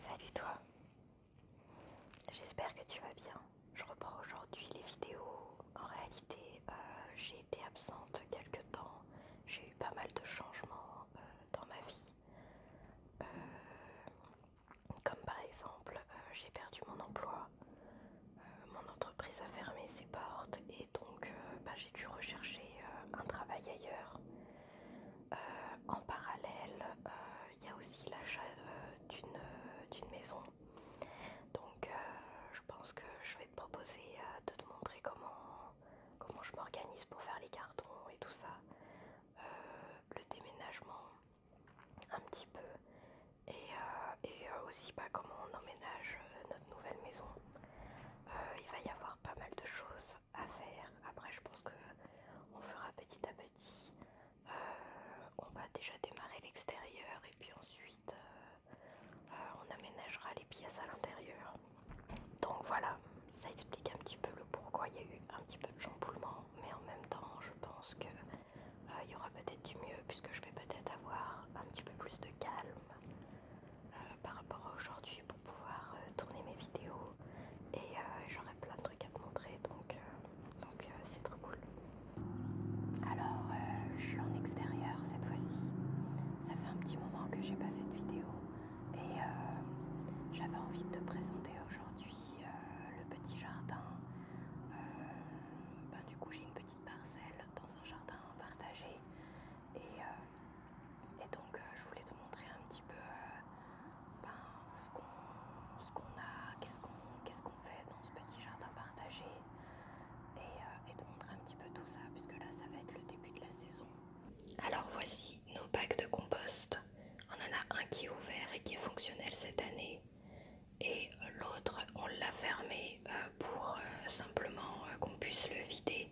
Salut toi. J'espère que tu vas bien. Je reprends aujourd'hui les vidéos. En réalité, euh, j'ai été absente quelque temps. J'ai eu pas mal de changements euh, dans ma vie. Euh, comme par exemple, j'ai perdu mon emploi euh, mon entreprise a fermé ses portes et donc euh, bah, j'ai dû rechercher euh, un travail ailleurs. en parallèle, il y a aussi l'achat d'une maison. Donc je pense que je vais te proposer de te montrer comment, comment je m'organise pour faire les cartons et tout ça. le déménagement un petit peu et, euh, euh, aussi pas bah, comment on emménage euh, notre nouvelle maison. il va y avoir pas mal de choses à faire. Après, je pense que on fera petit à petit. on va déjà démarrer l'extérieur et puis ensuite on aménagera les pièces à l'intérieur. Donc voilà, ça explique un petit peu le pourquoi il y a eu un petit peu de chamboulement, mais en même temps, je pense que euh, il y aura peut-être du mieux puisque je vais peut-être avoir un petit peu plus de calme euh, par rapport à aujourd'hui pour pouvoir euh, tourner mes vidéos et j'aurai plein de trucs à te montrer donc donc c'est trop cool. Alors je suis en extérieur cette fois-ci. Ça fait un petit moment que j'ai pas fait de vidéo et j'avais envie de te présenter aujourd'hui le petit jardin. Ben, du coup j'ai une petite parcelle jardin partagé. Et, euh, donc, euh, je voulais te montrer un petit peu euh, ben, ce qu'on a, qu'est-ce qu'on fait dans ce petit jardin partagé. Et, et te montrer un petit peu tout ça, puisque là, ça va être le début de la saison. Alors voici nos bacs de compost. On en a un qui est ouvert et qui est fonctionnel cette année et l'autre on l'a fermé euh, pour euh, simplement euh, qu'on puisse le vider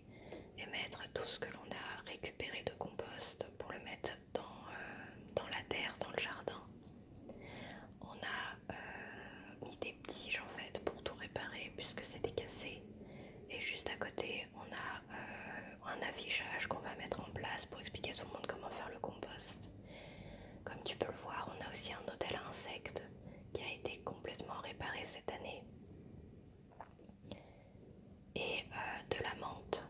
et mettre tout ce que l'on a récupéré de compost pour le mettre dans, la terre, dans le jardin. On a mis des tiges en fait pour tout réparer puisque c'était cassé et juste à côté on a un affichage qu'on va mettre en place pour expliquer à tout le monde comment faire le compost. Comme tu peux le voir, on a aussi un hôtel à insectes qui a été complètement réparé cette année. Et euh, de la menthe,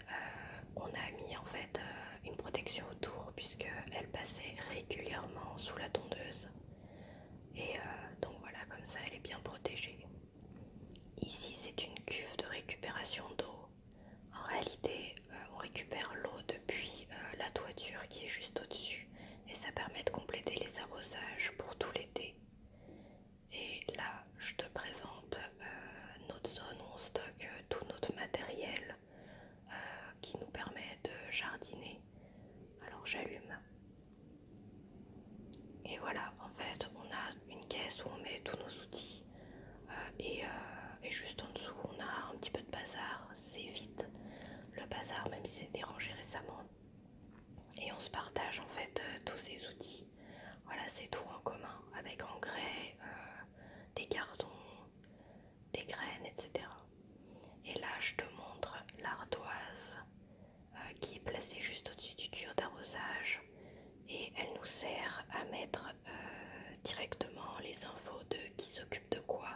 euh, on a mis en fait euh, une protection autour puisqu'elle passait régulièrement sous la tondeuse. Et donc voilà, comme ça elle est bien protégée. Ici c'est une cuve de récupération d'eau en réalité, euh, on récupère l'eau depuis euh, la toiture qui est juste au-dessus et ça permet de compléter les arrosages pour tout l'été. Et là, je te présente euh, notre zone où on stocke tout notre matériel qui nous permet de jardiner. Alors j'allume. Et voilà, en fait, on a une caisse où on met tous nos outils euh, euh, et, juste en dessous, on a un petit peu de bazar. C'est vite le bazar, même s'est c'est dérangé récemment. Et on se partage en fait euh, tous ces outils. Voilà, c'est tout en commun avec engrais, des cartons, des graines, etc. Et là, je te montre l'ardoise qui est placée juste au-dessus du tuyau d'arrosage et elle nous sert à mettre euh, directement les infos de qui s'occupe de quoi.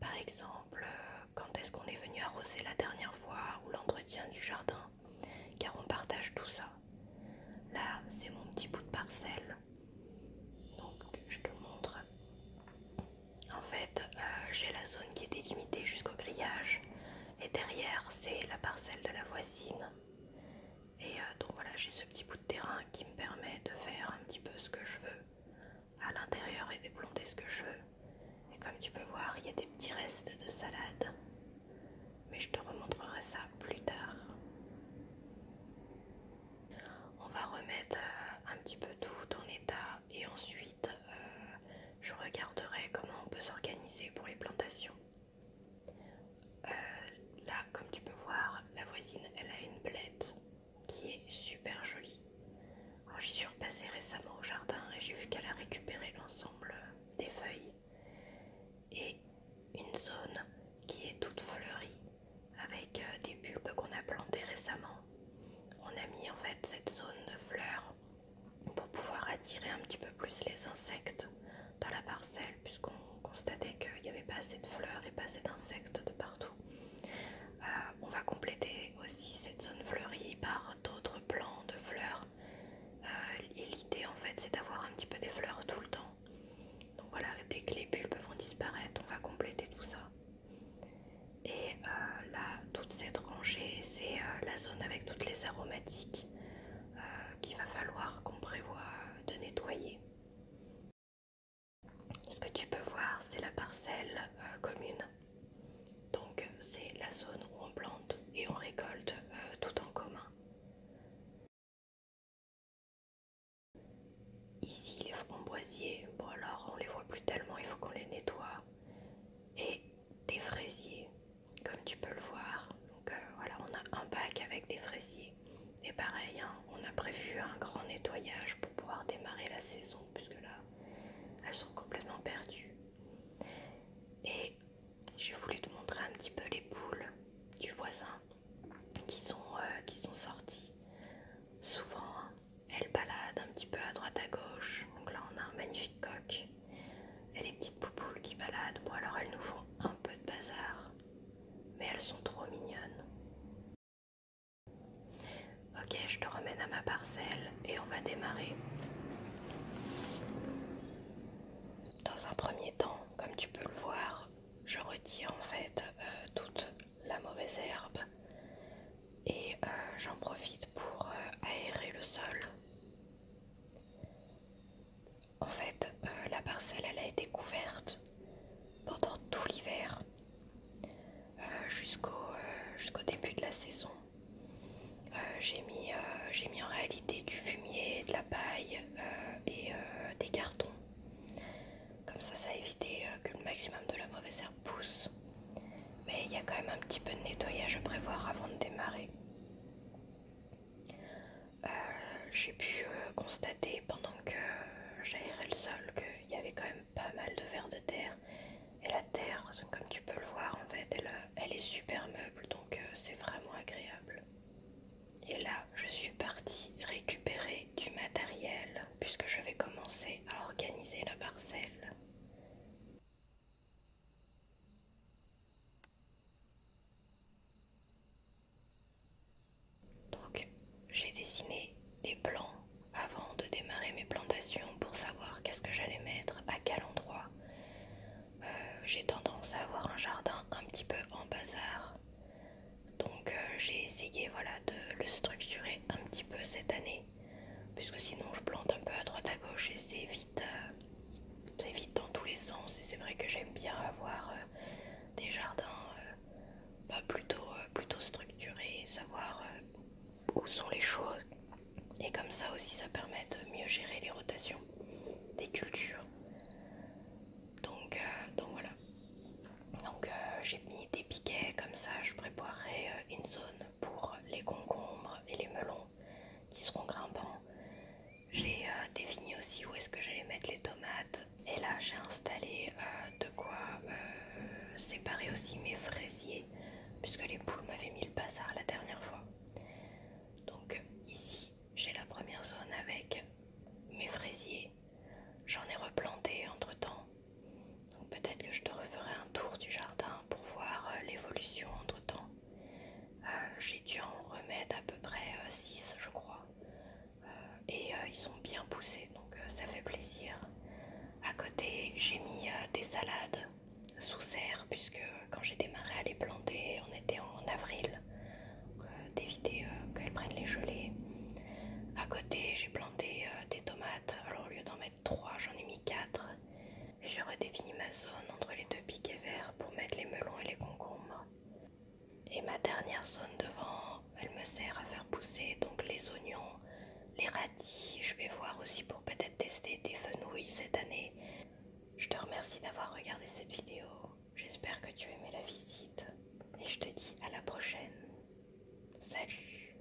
Par exemple, euh, quand est-ce qu'on est venu arroser la dernière fois ou l'entretien du jardin, car on partage tout ça. Là, c'est mon petit bout de parcelle. Donc, je te montre. En fait, euh, j'ai la zone qui est délimitée jusqu'au grillage, et derrière, c'est la parcelle de la voisine. Et euh, donc voilà, j'ai ce petit bout de terrain qui me permet de faire un petit peu ce que je veux à l'intérieur et de planter ce que je veux. Et comme tu peux voir, il y a des petits restes de salade. Mais je te remontrerai ça plus tard. On va remettre euh, un petit peu tout en état et ensuite euh, je regarderai comment on peut s'organiser pour les plantations. Euh, là, comme tu peux voir, la voisine, elle a une blette qui est super jolie. J'y suis repassée récemment au jardin et j'ai vu qu'elle a récupéré l'ensemble des feuilles et une zone qui est toute fleurie avec euh, des bulbes qu'on a plantés récemment. On a mis en fait cette zone de fleurs pour pouvoir attirer un petit peu plus les insectes dans la parcelle puisqu'on constatait qu'il n'y avait pas assez de fleurs et pas assez d'insectes de partout. Euh, on va compléter aussi cette zone fleurie par d'autres plants de fleurs. Euh, et l'idée en fait c'est d'avoir un petit peu des fleurs tout le temps. Donc voilà, dès que les bulbes vont disparaître, on va compléter tout ça. Et euh, là, toute cette rangée, c'est la zone avec toutes les aromatiques qu'il va falloir qu'on prévoit de nettoyer. Ce que tu peux voir, c'est la parcelle euh, commune. Donc c'est la zone où on plante et on récolte euh, tout en commun. Ici les framboisiers, bon alors on les voit plus tellement, il faut qu'on les nettoie. Et des fraisiers, comme tu peux le voir. Donc euh, voilà, on a un bac avec des fraisiers. Et pareil, hein, on a prévu un grand nettoyage pour pouvoir démarrer la saison, puisque là, elles sont complètement perdues. Et j'ai voulu te montrer un petit peu les poules du voisin qui sont, euh, sorties. Souvent, hein, elles baladent un petit peu à droite à gauche. Donc là, on a un magnifique coq. Et les petites poupoules qui baladent, ou alors elles nous font un peu de bazar mais elles sont trop mignonnes. Ok, je te ramène à ma parcelle et on va démarrer. Dans un premier temps, comme tu peux le voir, je retire en fait euh, toute la mauvaise herbe et euh, j'en profite pour euh, aérer le sol. En fait, euh, la parcelle, elle a été couverte pendant tout l'hiver, euh, euh, jusqu'au début de la saison. J'ai mis, j'ai mis en réalité du fumier, de la paille et des cartons. Comme ça, ça a évité que le maximum de la mauvaise herbe pousse. Mais il y a quand même un petit peu de nettoyage à prévoir avant de démarrer. Euh, j'ai pu euh, constater pendant que euh, j'aérais le sol qu'il y avait quand même pas mal de vers de terre. Et la terre, comme tu peux le voir en fait, elle, est super meuble, donc c'est vraiment agréable. Et là, je suis partie récupérer du matériel puisque je vais commencer à organiser la parcelle. Donc j'ai dessiné des plans avant de démarrer mes plantations pour savoir qu'est-ce que j'allais mettre, à quel endroit. Euh, j'ai tendance à avoir un jardin un petit peu en bazar. Donc euh, j'ai essayé voilà, de le structurer un petit peu cette année. Puisque sinon je plante un peu à droite à gauche et c'est euh, c'est vite dans tous les sens et c'est vrai que j'aime bien avoir euh, des jardins euh, bah, plutôt, plutôt structurés, savoir où sont les choses et comme ça aussi ça permet de mieux gérer les rotations des cultures. Donc, donc voilà. Donc j'ai mis des piquets comme ça, je préparerai une zone pour les concombres et les melons qui seront grimpants j'ai euh, défini aussi où est-ce que j'allais mettre les tomates. Et là, j'ai installé euh, de quoi euh, séparer aussi mes fraisiers, puisque les poules m'avaient mis le bazar la dernière fois. Donc ici, j'ai la première zone avec mes fraisiers. J'en ai replanté entre-temps. Donc peut-être que je te referai un tour du jardin pour voir l'évolution entre-temps. Euh, j'ai dû en remettre à peu près 6 euh, je crois. Euh, et ils sont bien poussés, donc ça fait plaisir. À côté, j'ai mis des salades sous serre, puisque quand j'ai démarré à les planter, on était en avril, d'éviter qu'elles prennent les gelées. À côté, j'ai planté des tomates, alors au lieu d'en mettre 3, j'en ai mis 4 je redéfinis ma zone entre les deux piquets verts pour mettre les melons et les concombres. Et ma dernière zone devant, elle me sert à faire pousser donc les oignons, les radis. Je vais voir aussi pour peut-être tester des fenouilles cette année. Je te remercie d'avoir regardé cette vidéo. J'espère que tu as aimé la visite. Et je te dis à la prochaine. Salut